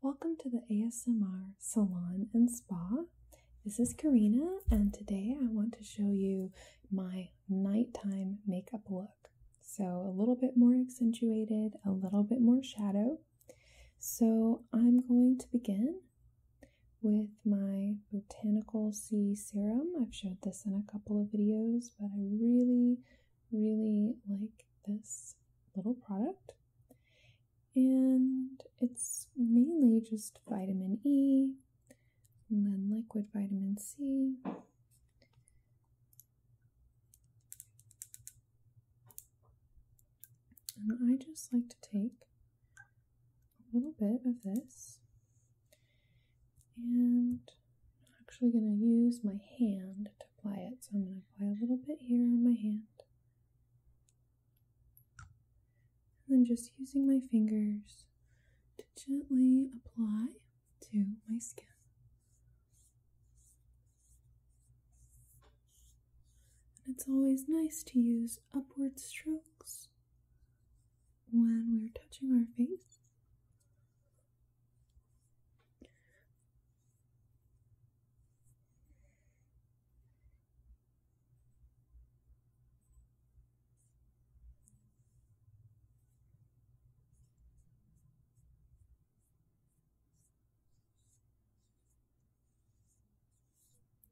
Welcome to the ASMR Salon and Spa. This is Karina, and today I want to show you my nighttime makeup look. So, a little bit more accentuated, a little bit more shadow. So, I'm going to begin with my Botanical C serum. I've showed this in a couple of videos, but I really, really like this little product. And it's mainly just vitamin E and then liquid vitamin C. And I just like to take a little bit of this. And I'm actually going to use my hand to apply it. So I'm going to apply a little bit here on my hand. And then just using my fingers to gently apply to my skin. And it's always nice to use upward strokes when we're touching our face.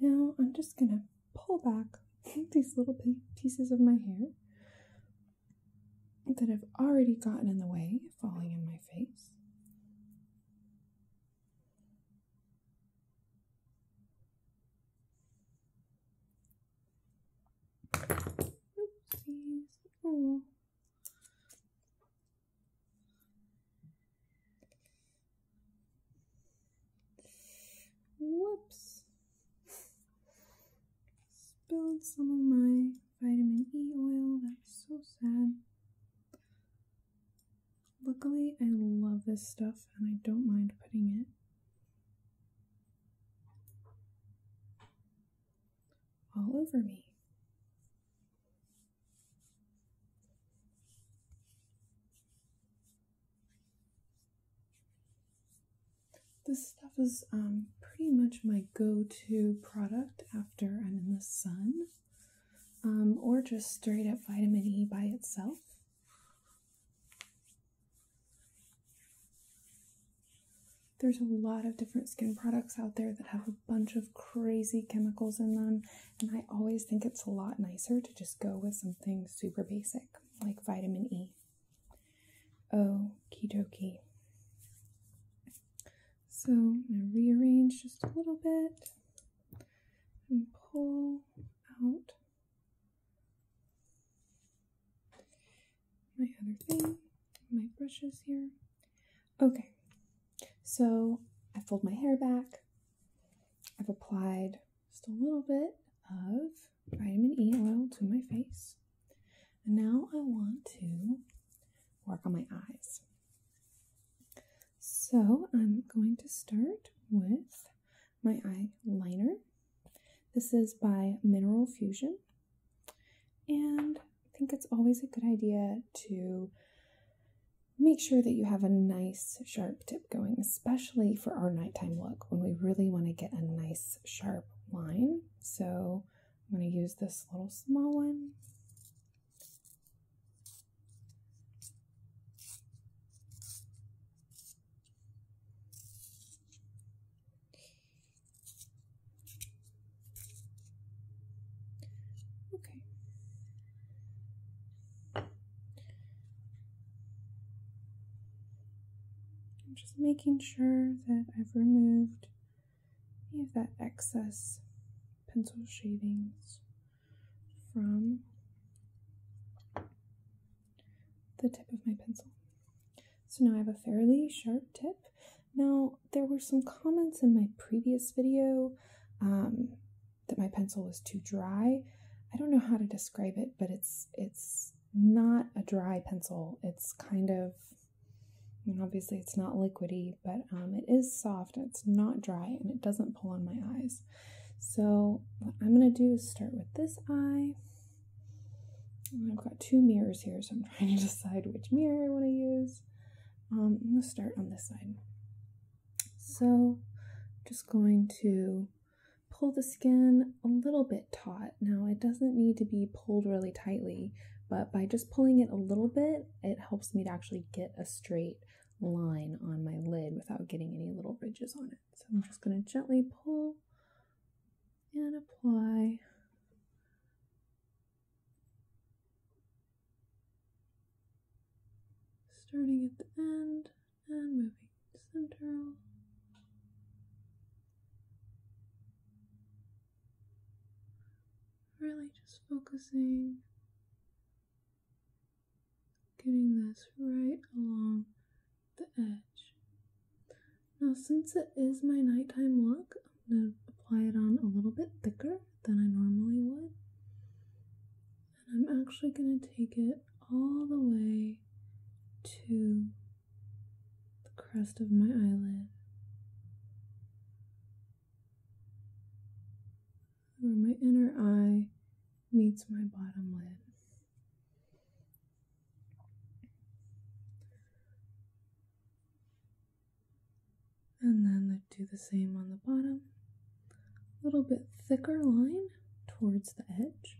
now I'm just going to pull back these little pieces of my hair that have already gotten in the way falling in my face. Oopsies. Oh. Whoops. Spilled some of my vitamin E oil. That's so sad. Luckily, I love this stuff and I don't mind putting it all over me. This stuff is um, pretty much my go to product after I'm in the sun, um, or just straight up vitamin E by itself. There's a lot of different skin products out there that have a bunch of crazy chemicals in them, and I always think it's a lot nicer to just go with something super basic like vitamin E. Okie dokie. So I'm going to rearrange just a little bit and pull out my other thing, my brushes here. Okay, so I fold my hair back. I've applied just a little bit of vitamin E oil to my face. And now I want to work on my eyes. So I'm going to start with my eyeliner. This is by Mineral Fusion. And I think it's always a good idea to make sure that you have a nice sharp tip going, especially for our nighttime look when we really want to get a nice sharp line. So I'm going to use this little small one. Okay. I'm just making sure that I've removed any of that excess pencil shavings from the tip of my pencil. So now I have a fairly sharp tip. Now, there were some comments in my previous video um, that my pencil was too dry. I don't know how to describe it, but it's it's not a dry pencil. It's kind of, I obviously it's not liquidy, but um, it is soft. It's not dry, and it doesn't pull on my eyes. So what I'm gonna do is start with this eye. I've got two mirrors here, so I'm trying to decide which mirror I want to use. Um, I'm going to start on this side. So, just going to pull the skin a little bit taut. Now, it doesn't need to be pulled really tightly, but by just pulling it a little bit, it helps me to actually get a straight line on my lid without getting any little ridges on it. So, I'm just going to gently pull and apply starting at the end and moving center, Really just focusing, getting this right along the edge. Now since it is my nighttime look, I'm going to apply it on a little bit thicker than I normally would. And I'm actually going to take it all the way to the crest of my eyelid. Where my inner eye meets my bottom lid. And then I do the same on the bottom. A little bit thicker line towards the edge.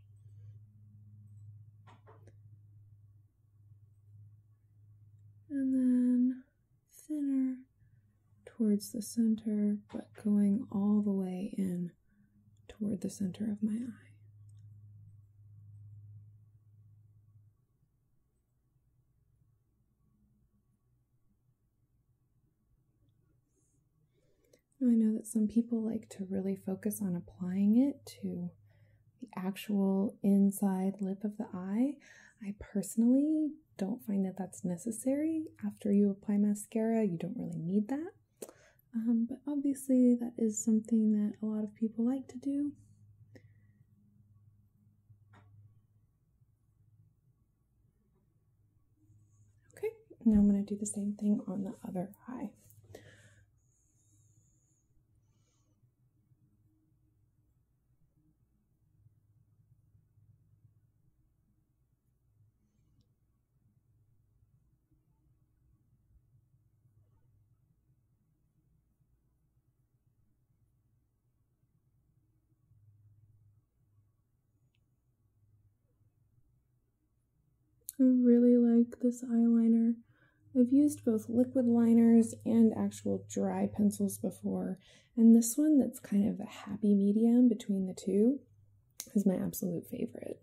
And then thinner towards the center, but going all the way in toward the center of my eye. I know that some people like to really focus on applying it to the actual inside lip of the eye. I personally don't find that that's necessary. After you apply mascara, you don't really need that. Um, but obviously, that is something that a lot of people like to do. Okay, now I'm going to do the same thing on the other eye. I really like this eyeliner. I've used both liquid liners and actual dry pencils before, and this one that's kind of a happy medium between the two is my absolute favorite.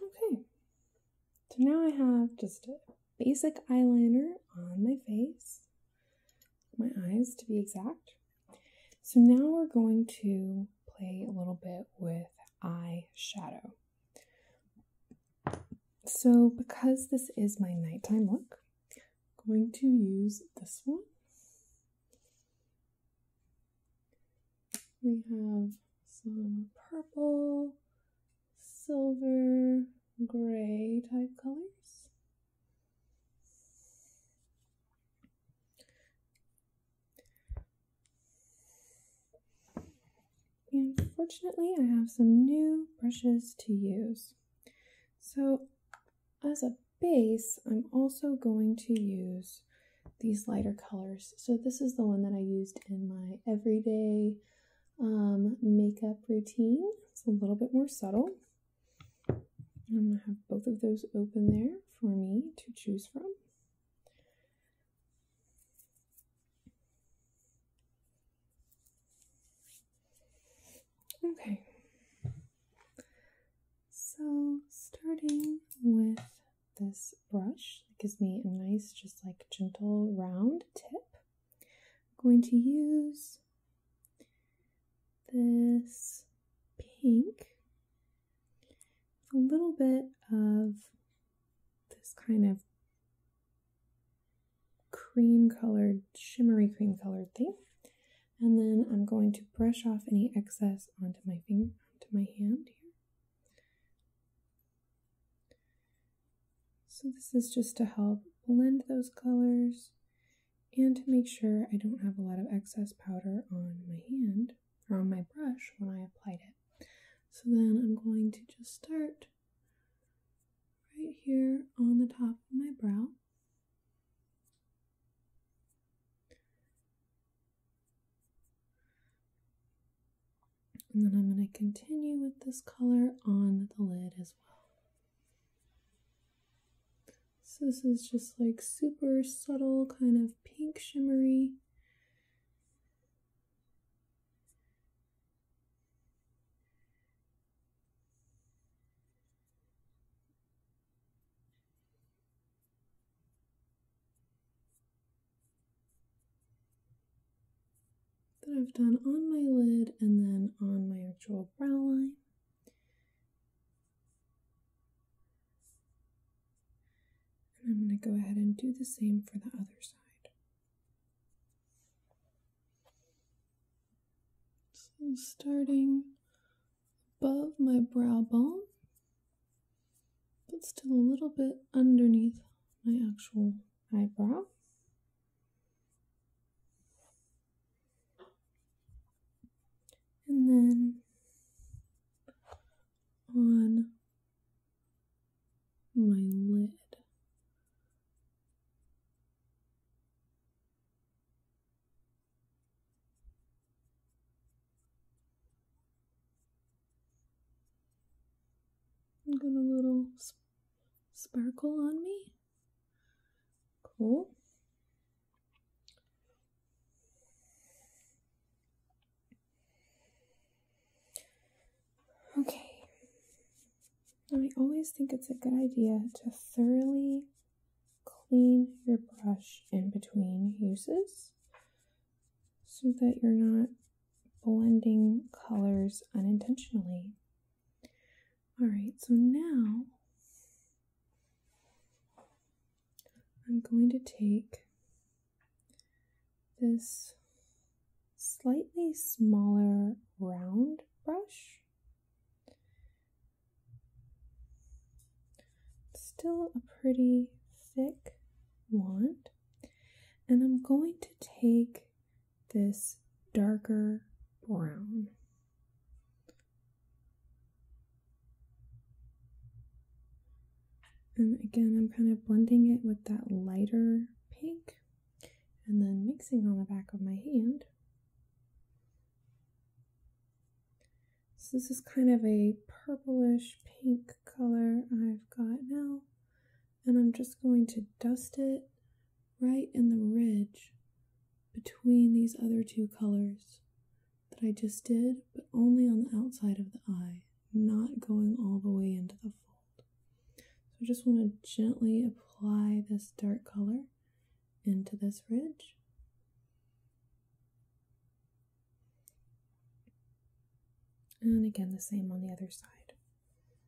Okay, so now I have just a basic eyeliner on my face, my eyes to be exact. So now we're going to play a little bit with eyeshadow. So because this is my nighttime look, I'm going to use this one. We have some purple, silver gray type colors. And fortunately, I have some new brushes to use. So as a base, I'm also going to use these lighter colors. So this is the one that I used in my everyday um, makeup routine. It's a little bit more subtle. I'm going to have both of those open there for me to choose from. Okay, so starting with this brush gives me a nice, just like gentle round tip. I'm going to use this pink a little bit of this kind of cream colored, shimmery cream colored thing. And then I'm going to brush off any excess onto my finger, onto my hand here. So this is just to help blend those colors and to make sure I don't have a lot of excess powder on my hand or on my brush when I applied it. So then I'm going to just start right here on the top of my brow. And then I'm going to continue with this color on the lid as well. So this is just like super subtle kind of pink shimmery that I've done on my lid and then on my actual brow line. And I'm going to go ahead and do the same for the other side. So starting above my brow bone, but still a little bit underneath my actual eyebrow. And then on my lid. I Got a little sparkle on me. Cool. Okay. I always think it's a good idea to thoroughly clean your brush in between uses so that you're not blending colors unintentionally. All right, so now I'm going to take this slightly smaller round brush. Still a pretty thick wand. And I'm going to take this darker brown. And again, I'm kind of blending it with that lighter pink and then mixing on the back of my hand. So this is kind of a purplish pink color I've got now and I'm just going to dust it right in the ridge between these other two colors that I just did, but only on the outside of the eye, not going all the way into the fold. So I just want to gently apply this dark color into this ridge. And again, the same on the other side.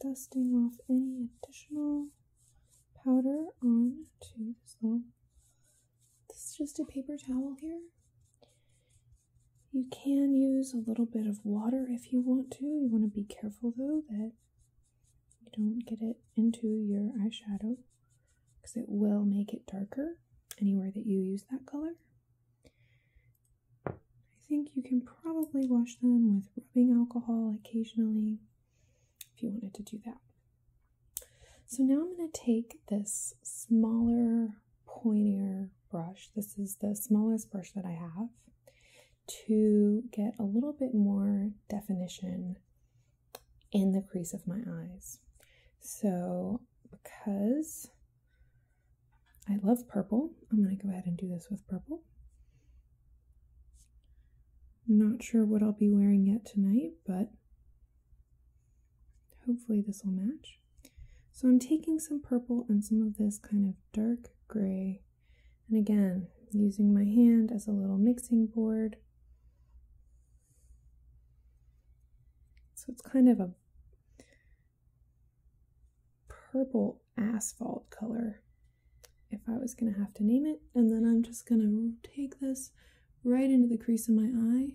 dusting off any additional powder on to this little this is just a paper towel here you can use a little bit of water if you want to you want to be careful though that you don't get it into your eyeshadow because it will make it darker anywhere that you use that color I think you can probably wash them with rubbing alcohol occasionally if you wanted to do that. So now I'm going to take this smaller, pointier brush. This is the smallest brush that I have to get a little bit more definition in the crease of my eyes. So because I love purple. I'm going to go ahead and do this with purple. Not sure what I'll be wearing yet tonight, but hopefully this will match. So I'm taking some purple and some of this kind of dark gray. And again, using my hand as a little mixing board. So it's kind of a purple asphalt color if I was going to have to name it. And then I'm just going to take this right into the crease of my eye.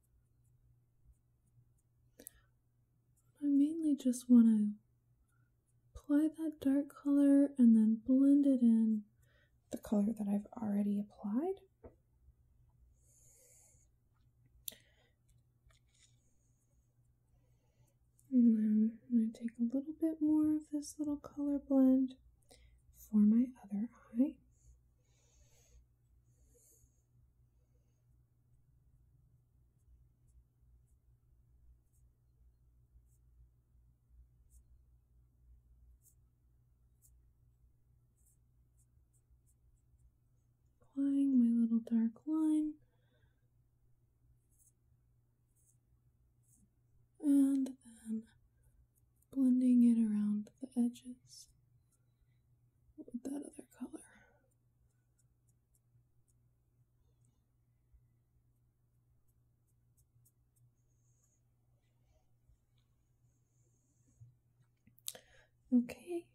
I mainly just want to apply that dark color and then blend it in the color that I've already applied. And then I'm going to take a little bit more of this little color blend for my other eye. Applying my little dark line. And then blending it around the edges with that other color. Okay.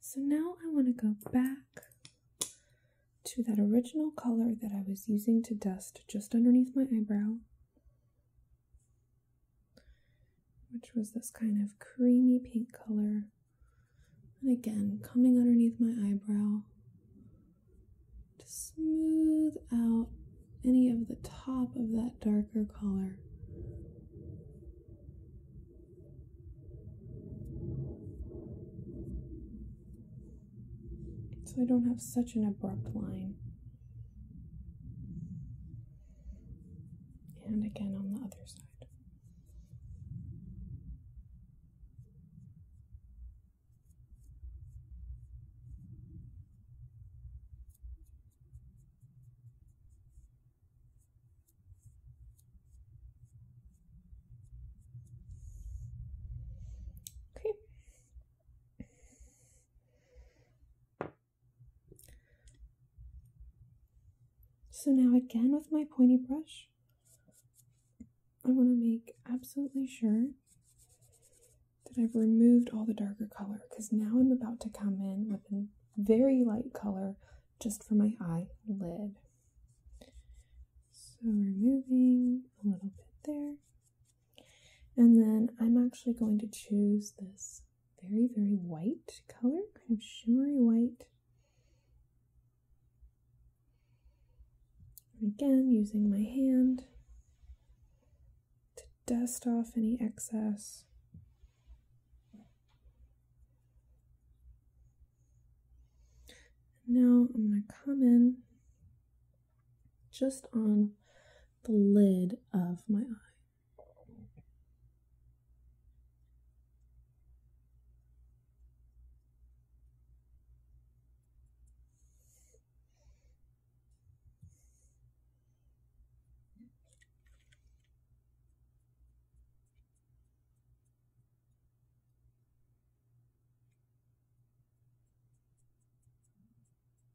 So now I want to go back to that original color that I was using to dust just underneath my eyebrow which was this kind of creamy pink color. And again, coming underneath my eyebrow to smooth out any of the top of that darker color. So I don't have such an abrupt line. And again on the other side. Okay. So now again with my pointy brush, I want to make absolutely sure that I've removed all the darker color because now I'm about to come in with a very light color just for my eye lid. So removing a little bit there, and then I'm actually going to choose this very, very white color, kind of shimmery white. And again, using my hand to dust off any excess. Now I'm going to come in just on the lid of my eye.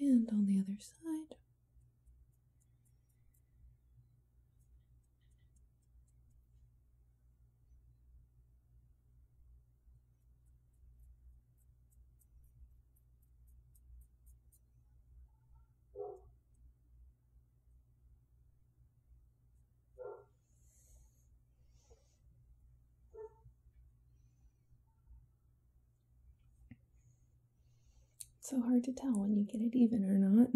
And on the other side so hard to tell when you get it even or not.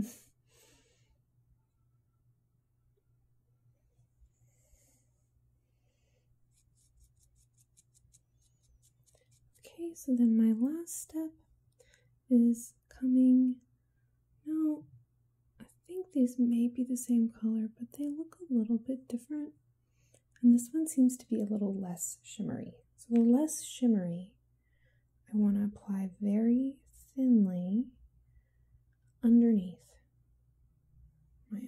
okay, so then my last step is coming. No, I think these may be the same color, but they look a little bit different. And this one seems to be a little less shimmery. So the less shimmery, I want to apply very thinly underneath my eye.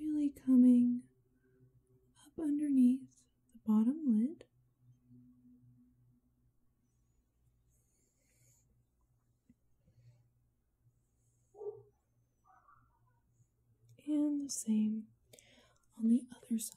Really coming up underneath the bottom lid. And the same on the other side.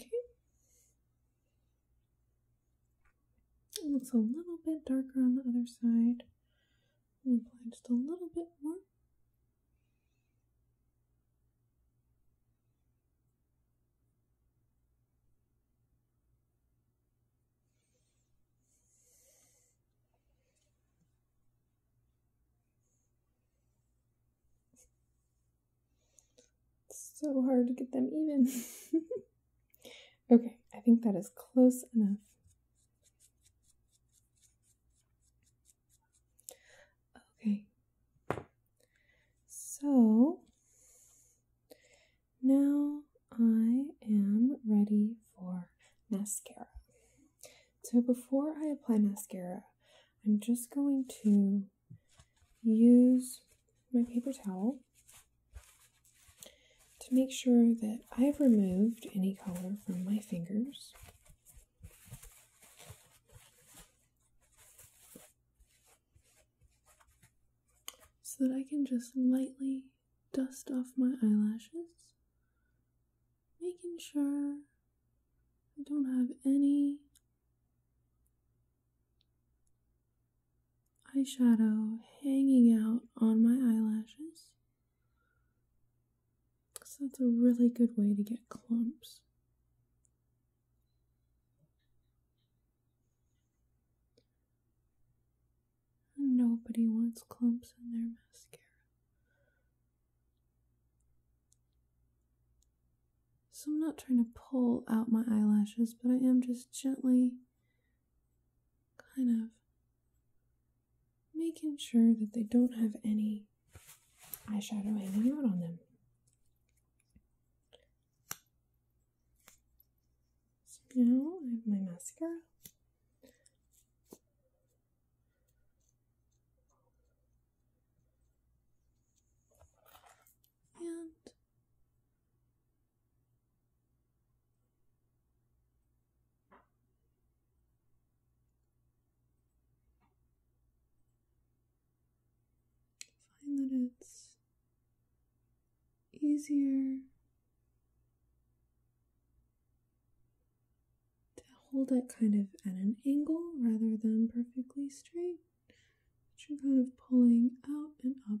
Okay. It looks a little bit darker on the other side. I'm apply just a little bit more so hard to get them even. okay, I think that is close enough. Okay. So now I am ready for mascara. So before I apply mascara, I'm just going to use my paper towel to make sure that I've removed any color from my fingers so that I can just lightly dust off my eyelashes, making sure I don't have any eyeshadow hanging out on my eyelashes. So that's a really good way to get clumps. Nobody wants clumps in their mascara. So I'm not trying to pull out my eyelashes, but I am just gently kind of making sure that they don't have any eyeshadow hanging out on them. So now I have my mascara. And find that it's easier to hold it kind of at an angle rather than perfectly straight. But you're kind of pulling out and up.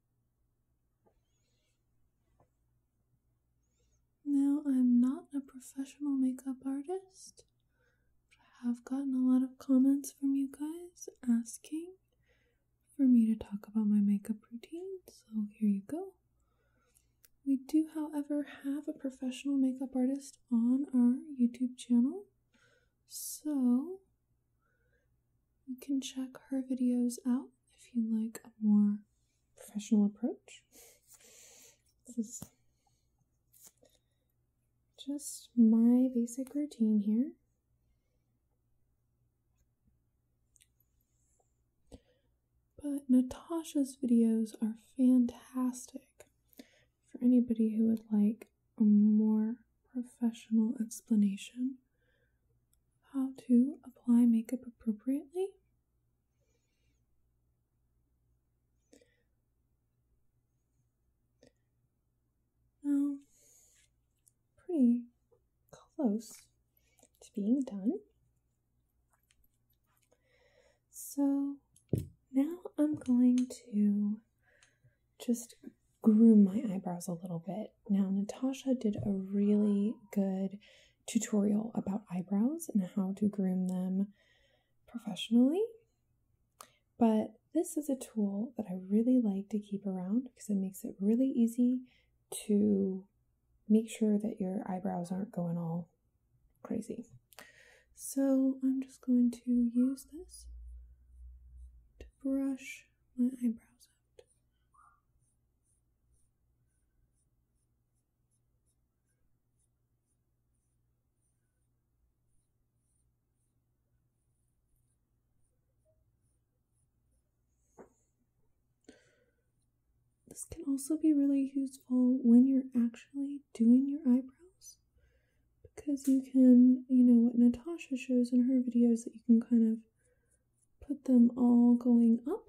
Now, I'm not a professional makeup artist, but I have gotten a lot of comments from you guys asking for me to talk about my makeup routine, so here you go. We do, however, have a professional makeup artist on our YouTube channel, so you can check her videos out if you like a more professional approach. This is just my basic routine here. But Natasha's videos are fantastic for anybody who would like a more professional explanation how to apply makeup appropriately. Now, pretty close to being done. So now I'm going to just groom my eyebrows a little bit. Now, Natasha did a really good tutorial about eyebrows and how to groom them professionally, but this is a tool that I really like to keep around because it makes it really easy to make sure that your eyebrows aren't going all crazy. So I'm just going to use this to brush my eyebrows out. This can also be really useful when you're actually doing your eyebrows because you can, you know, what Natasha shows in her videos that you can kind of put them all going up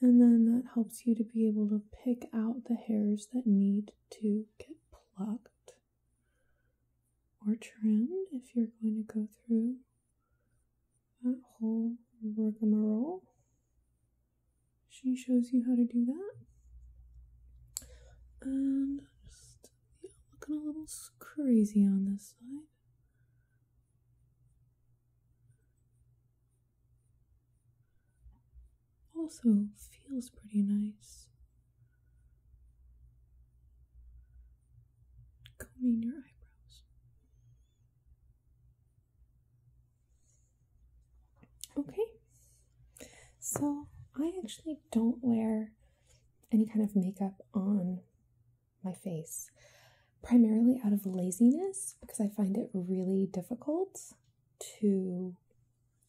and then that helps you to be able to pick out the hairs that need to get plucked or trimmed if you're going to go through that whole rigmarole. She shows you how to do that. And just looking a little crazy on this side. Also feels pretty nice. Combing your eyebrows. Okay, so I actually don't wear any kind of makeup on my face, primarily out of laziness because I find it really difficult to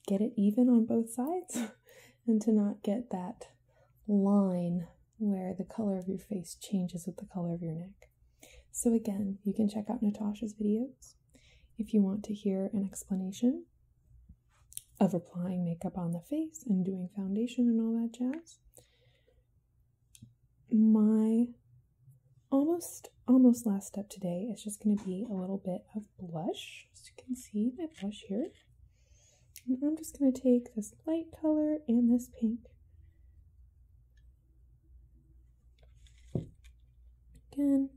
get it even on both sides and to not get that line where the color of your face changes with the color of your neck. So, again, you can check out Natasha's videos if you want to hear an explanation of applying makeup on the face and doing foundation and all that jazz my almost almost last step today is just going to be a little bit of blush as you can see my blush here i'm just going to take this light color and this pink again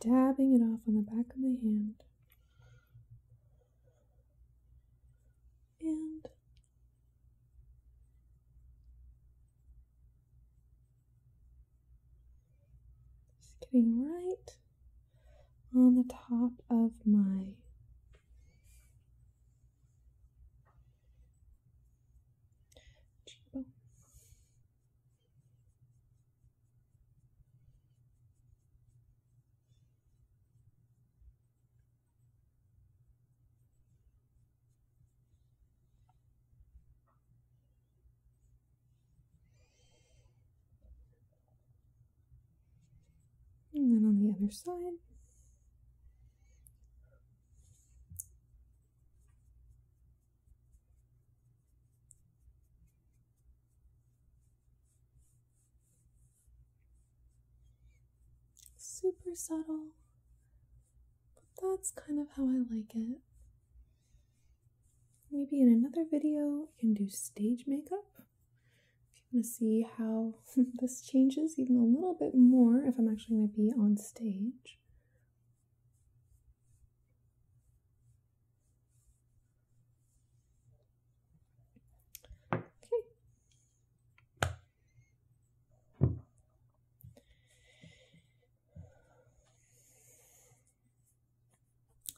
dabbing it off on the back of my hand and just getting right on the top of my cheekbone. And then on the other side super subtle, but that's kind of how I like it. Maybe in another video, I can do stage makeup. If you want to see how this changes even a little bit more, if I'm actually going to be on stage. Okay.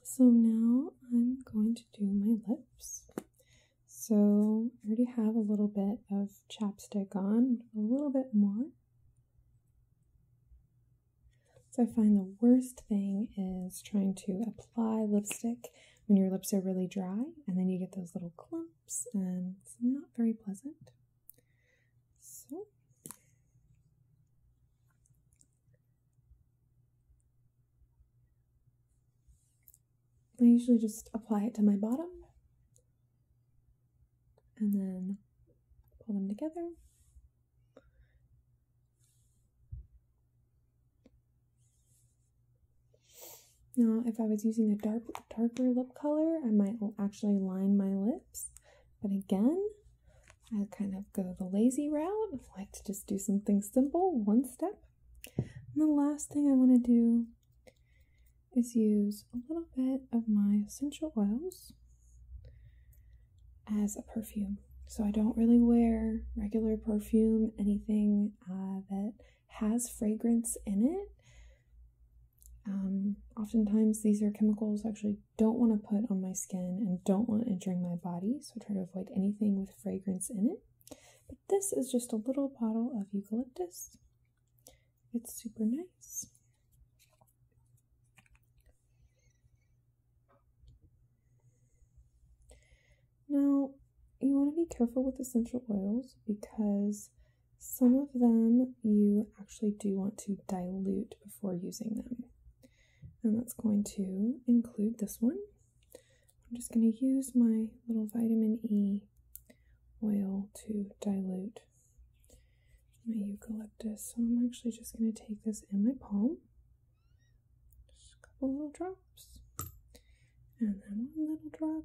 So now I'm going to do my lips. So I already have a little bit of chapstick on, a little bit more. So I find the worst thing is trying to apply lipstick when your lips are really dry, and then you get those little clumps, and it's not very pleasant. So, I usually just apply it to my bottom and then pull them together. Now, if I was using a dark, darker lip color, I might actually line my lips. But again, I kind of go the lazy route. like to just do something simple, one step. And the last thing I want to do is use a little bit of my essential oils as a perfume. So I don't really wear regular perfume, anything uh, that has fragrance in it. Um, oftentimes, these are chemicals I actually don't want to put on my skin and don't want entering my body, so try to avoid anything with fragrance in it. But this is just a little bottle of eucalyptus. It's super nice. Now, you want to be careful with essential oils because some of them you actually do want to dilute before using them. And that's going to include this one. I'm just going to use my little vitamin E oil to dilute my eucalyptus. So I'm actually just going to take this in my palm. Just a couple little drops and then one little drop.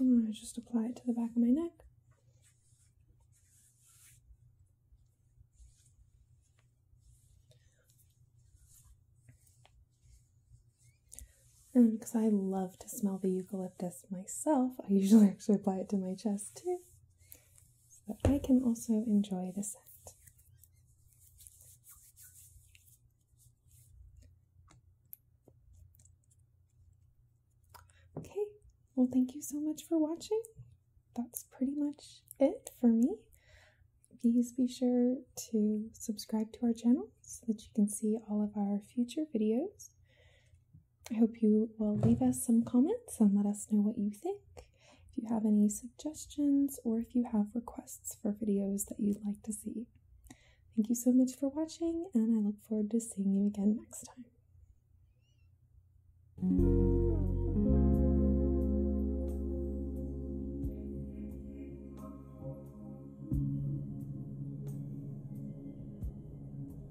And i just apply it to the back of my neck. And because I love to smell the eucalyptus myself, I usually actually apply it to my chest too. But I can also enjoy the scent. Okay, well, thank you so much for watching. That's pretty much it for me. Please be sure to subscribe to our channel so that you can see all of our future videos. I hope you will leave us some comments and let us know what you think. If you have any suggestions or if you have requests for videos that you'd like to see. Thank you so much for watching, and I look forward to seeing you again next time.